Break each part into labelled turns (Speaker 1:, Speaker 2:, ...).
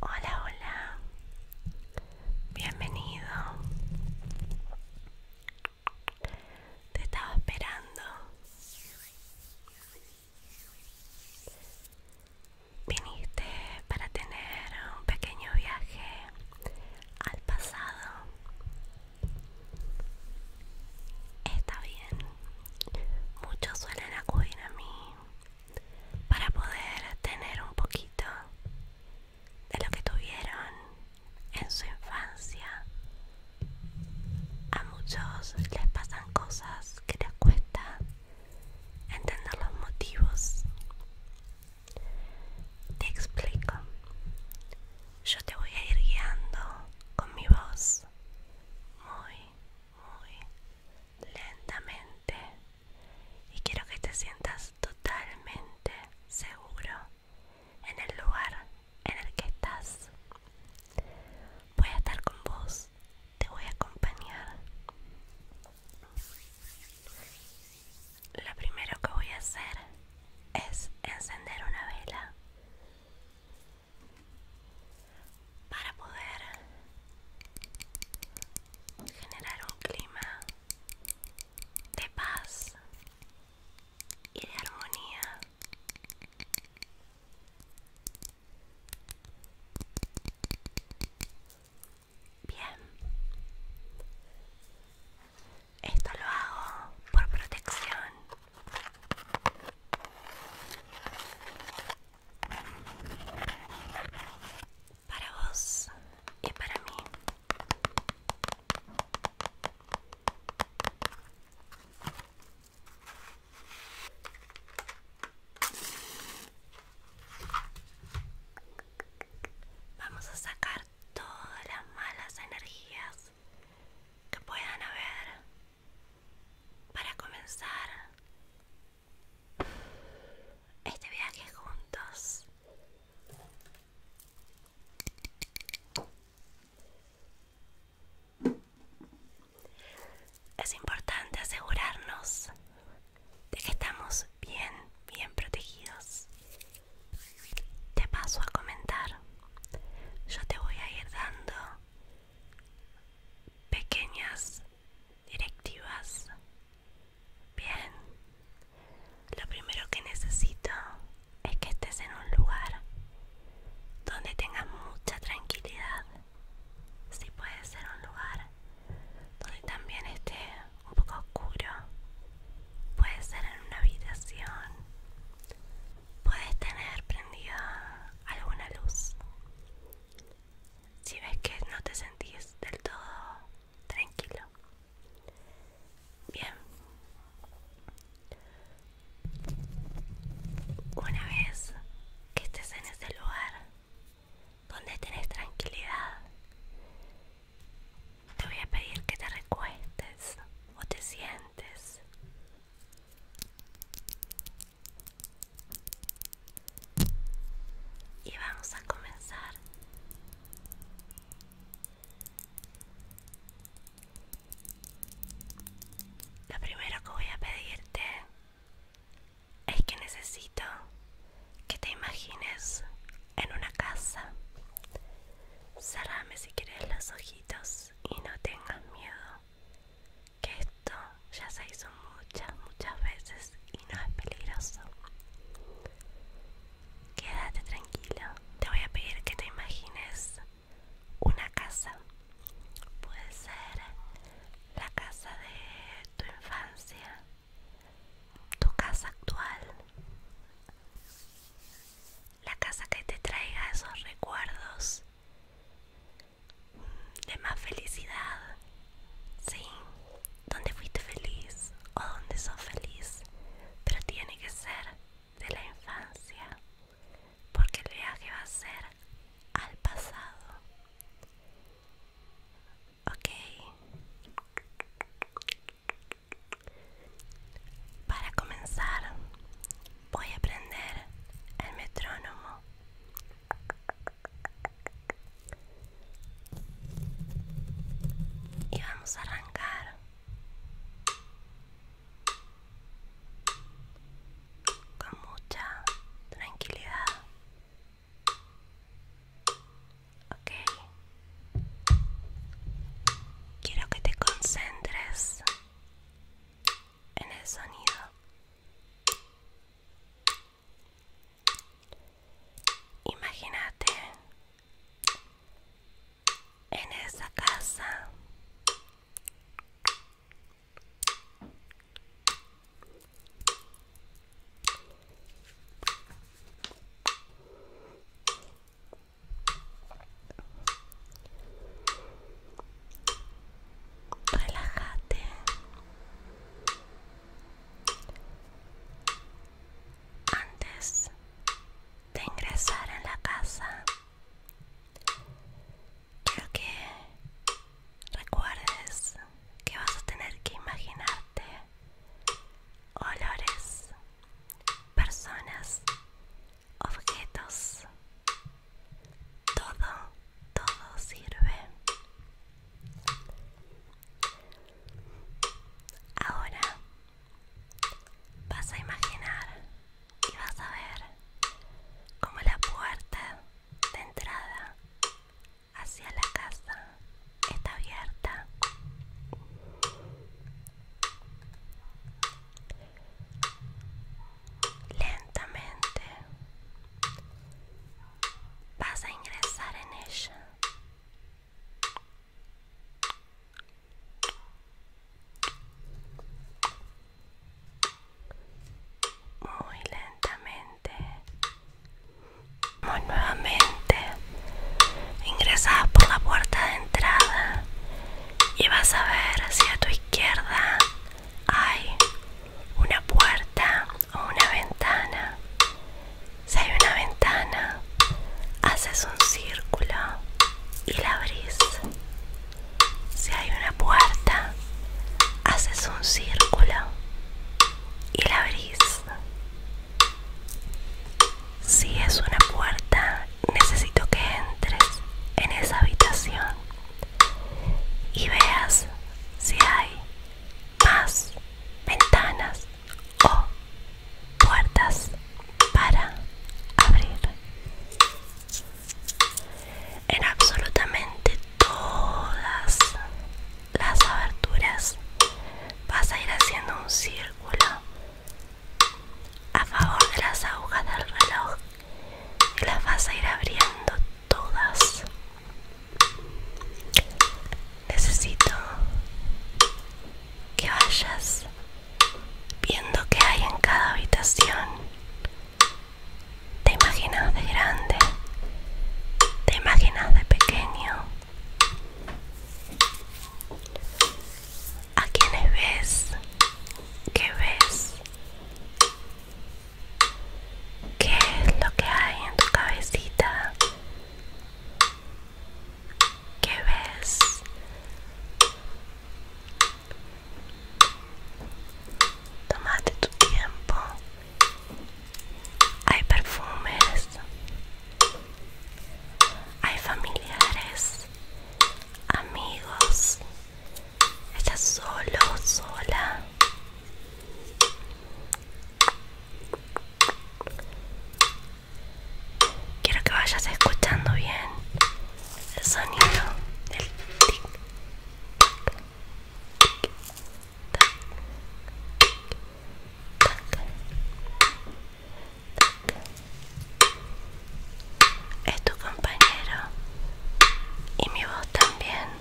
Speaker 1: Hola, hola. Bienvenido. Te estaba esperando. Viniste para tener un pequeño viaje al pasado. Está bien muchos suelen acudir a mí para poder tener un poquito de lo que tuvieron en su infancia. A muchos les pasan cosas que les cuesta entender los motivos. Te explico. Yo te voy a ir guiando con mi voz muy muy lentamente y quiero que te sientas totalmente seguro en el lugar en el que estás. Voy a estar con vos, te voy a acompañar. Lo primero que voy a hacer es encender una vela para poder generar un clima de paz y de armonía. Bien, esto lo hago por protección para vos y para mí. Vamos a sacar todas las malas energías que puedan haber para comenzar este viaje juntos. Es importante asegurarnos de que estamos bien, bien protegidos. Te paso a comentar. Yo te voy a ir dando pequeñas directivas. Bien, lo primero que necesito es que estés en un lugar donde tengas mucha tranquilidad. Si puede ser un lugar donde también esté un poco oscuro. Puede ser en una habitación puedes tener prendida alguna luz. Si ves que no te sentís del todo tranquilo. Bien. Una vez que estés en ese lugar donde tenés tranquilidad, te voy a pedir que te recuestes o te sientes y vamos a comenzar lo primero que voy a pedirte es que necesito que te imagines en una casa cerrame si quieres los ojitos y no tengas miedo que esto ya se hizo muchas, muchas veces y no es peligroso. Quédate tranquilo. Te voy a pedir que te imagines una casa. Puede ser la casa de tu infancia, tu casa actual, la casa que te traiga esos recuerdos de más felicidad, sí, donde fuiste feliz o donde sos feliz, pero tiene que ser de la infancia, porque el viaje va a ser al pasado. Ok. Para comenzar, voy a prender el metrónomo. Y vamos a arrancar con mucha tranquilidad. Ok. Quiero que te concentres en el sonido imagínate en esa casa Relájate. Antes de ingresar en la casa, quiero que recuerdes que vas a tener que imaginarte olores, personas objetos. Todo, todo sirve. Ahora vas a imaginar y vas a ver como la puerta de entrada hacia la casa está abierta lentamente vas a ingresar en ella muy lentamente muy nuevamente ingresada por la puerta de entrada y vas a ver si a tu izquierda hay una puerta o una ventana. Si hay una ventana, haces un círculo y la abrís. Si hay una puerta, haces un círculo y la abrís. Si es una puerta, necesito que entres en esa habitación y veas si hay más ventanas o puertas para abrir. En absolutamente todas las aberturas vas a ir haciendo un círculo a favor de las agujas del reloj y las vas a ir abriendo todas necesito que vayas viendo qué hay en cada habitación te imaginas de grande te imaginas de pequeño ¿A quién ves? ¿Qué ves? ¿Qué es lo que hay en tu cabecita? ¿Qué ves? Tómate tu tiempo. Hay perfumes. Hay familiares amigos, estás solo, sola. Quiero que vayas escuchando bien el sonido del tic. Es tu compañero y mi voz también.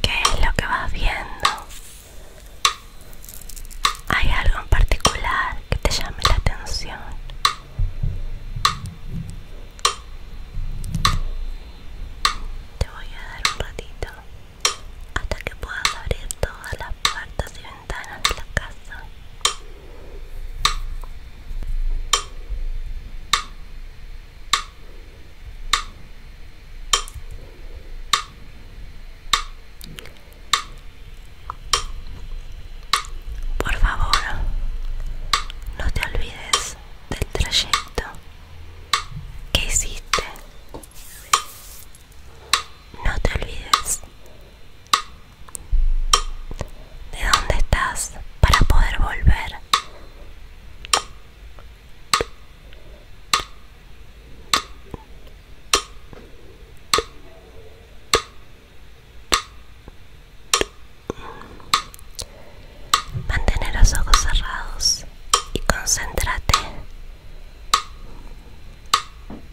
Speaker 1: ¿Qué es lo que vas viendo? ¿Hay algo en particular que te llame la atención? Te voy a dar un ratito hasta que puedas abrir todas las puertas y por favor, no te olvides del trayecto que hiciste. No te olvides de dónde estás para poder volver. Mantener los ojos cerrados y concéntrate.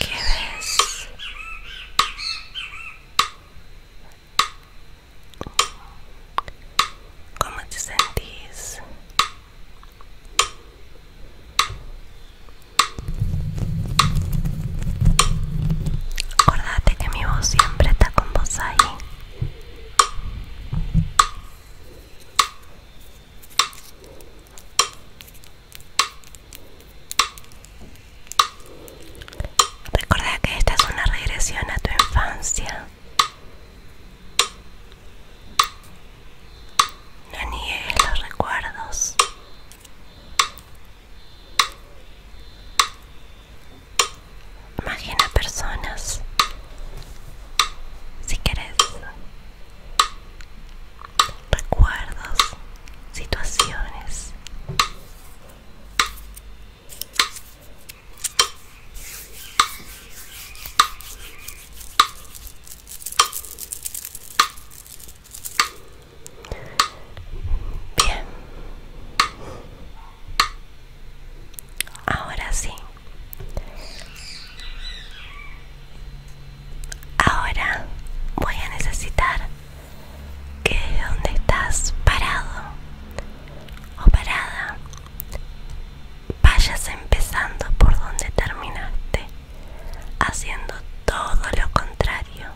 Speaker 1: ¿Qué ves? ¿Cómo te sentís? Acordate que mi voz siempre está con vos ahí. Recuerda que esta es una regresión a tu infancia. No niegues los recuerdos. Imagina personas. Si quieres, recuerdos, situaciones. Bien. Ahora sí. Ahora voy a necesitar que donde estás parado o parada vayas empezando por donde terminaste, haciendo todo lo contrario.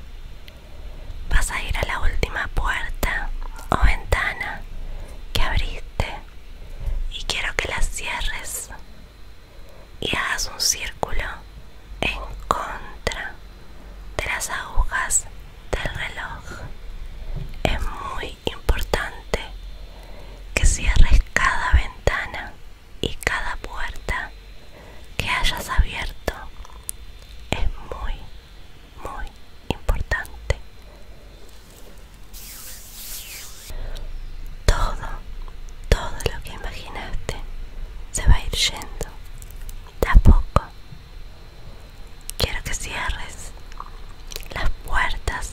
Speaker 1: Vas a ir a la última puerta o ventana que abriste y quiero que la cierres y hagas un círculo en contra de las agujas del reloj. Es muy importante que cierres cada ventana y cada puerta que hayas abierto. Es muy, muy importante. Todo, todo lo que imaginaste se va a ir yendo, tampoco Quiero que cierres las puertas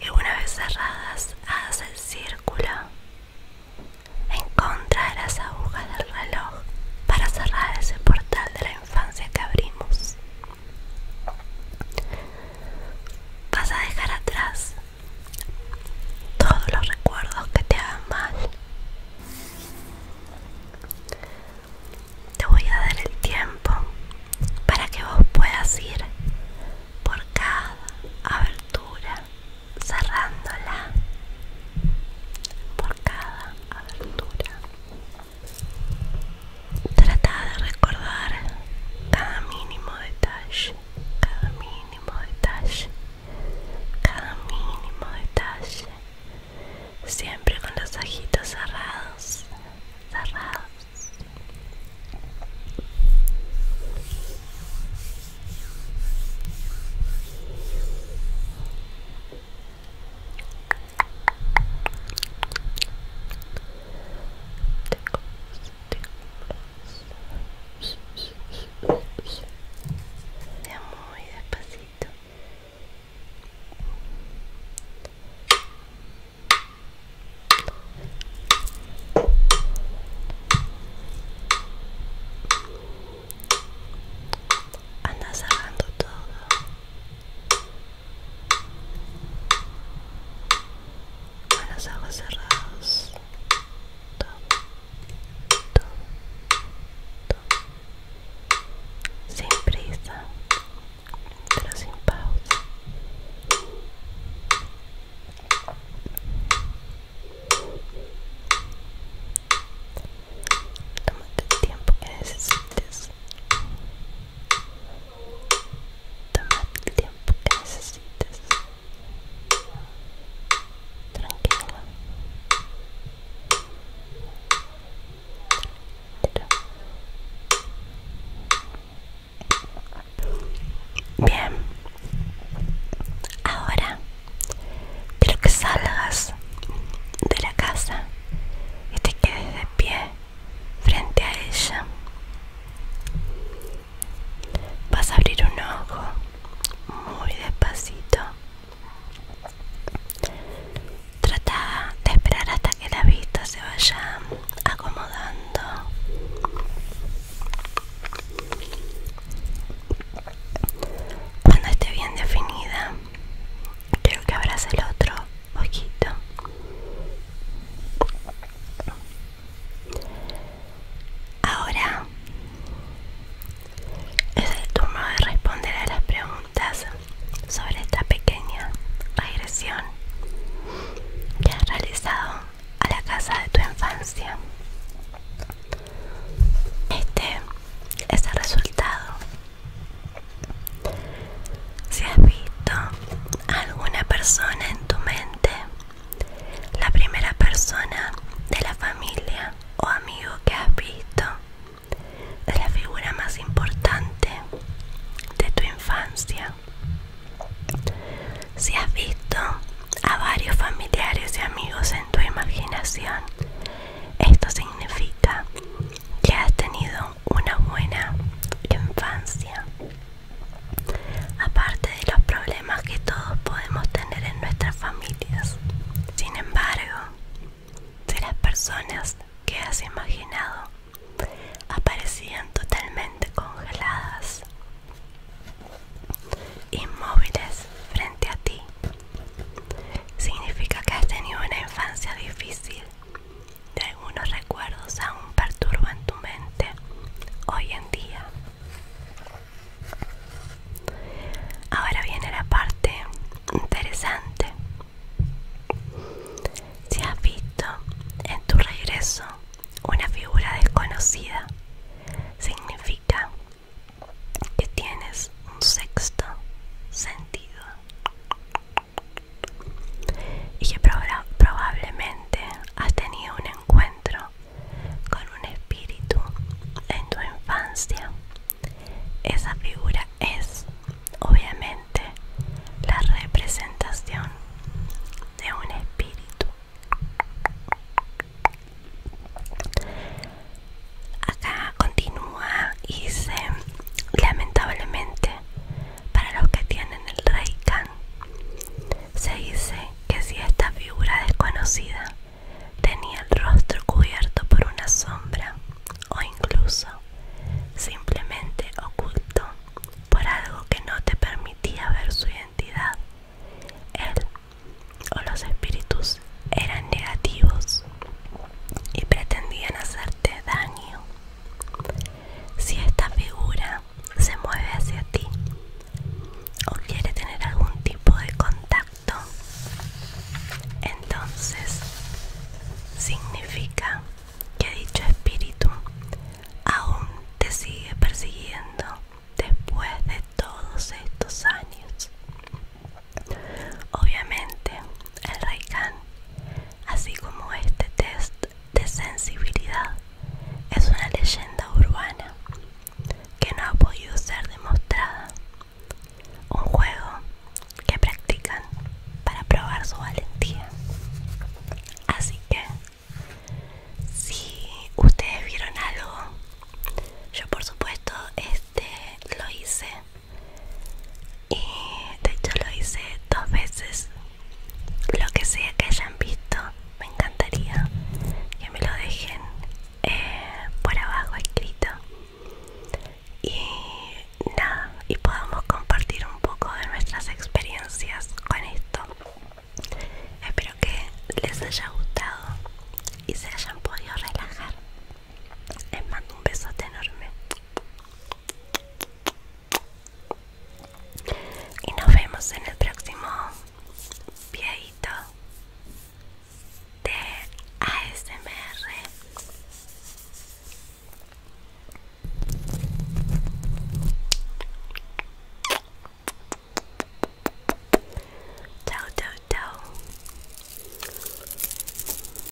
Speaker 1: y una vez cerradas hagas el círculo. En contra de las agujas del reloj para cerrar ese portal de la infancia que abrimos. Vas a dejar atrás todos los recuerdos que te hagan mal. Te voy a dar el tiempo para que vos puedas ir por cada abertura, cerrándola por cada abertura Trata de recordar cada mínimo detalle, cada mínimo detalle, cada mínimo detalle. Siempre con los ojitos cerrados, cerrados. Ya muy despacito. Anda todo con los ojos cerrados todo, sin pero sin pausa toma el tiempo que necesites Toma el tiempo que necesites. Tranquilo. Bien, ahora quiero que salgas de la casa y te quedes de pie frente a ella. Vas a abrir un ojo muy despacito. Trata de esperar hasta que la vista se vaya acomodando. Cuando esté bien definida, creo que abras el otro ojito Ahora es el turno de responder a las preguntas sobre esta pequeña regresión que has realizado a la casa de tu infancia. Este es el resultado si has visto alguna persona en tu mente, la primera persona de la familia o amigo que has visto, es la figura más importante de tu infancia. Si has visto a varios familiares y amigos en tu imaginación, esto significa que has tenido una buena infancia. Aparte de los problemas que todos podemos tener en nuestras familias. Sin embargo, de las personas que has imaginado aparecían totalmente congeladas, inmóviles frente a ti. Significa que has tenido una infancia difícil de algunos recuerdos aún perturban tu mente hoy en día. Ahora viene la parte interesante. Si has visto en tu regreso una figura desconocida, significa que tienes un sexto sentido y que probablemente has tenido un encuentro con un espíritu en tu infancia. Esa figura es, obviamente, la representación de un espíritu. Acá continúa y se lamentablemente, para los que tienen el khan se dice que si esta figura desconocida tenía el rostro cubierto por una sombra o incluso simplemente oculto por algo que no te permitía ver su identidad, él o los espíritus eran negativos y pretendían hacerte daño. Si esta figura se mueve hacia ti o quiere tener algún tipo de contacto, entonces significa que dicho espíritu aún te sigue persiguiendo después de todos estos años. Obviamente, el Reikan así como este test de sensibilidad, es una leyenda urbana que no ha podido ser demostrada. Un juego que practican para probar su valentía. Así que, si ustedes vieron algo, yo por supuesto este lo hice y de hecho lo hice dos veces lo que sea que hayan visto me encantaría que me lo dejen eh, por abajo escrito y nada y podamos compartir un poco de nuestras experiencias con esto espero que les haya gustado y se hayan podido relajar les mando un besote enorme y nos vemos en el próximo pieito de ASMR.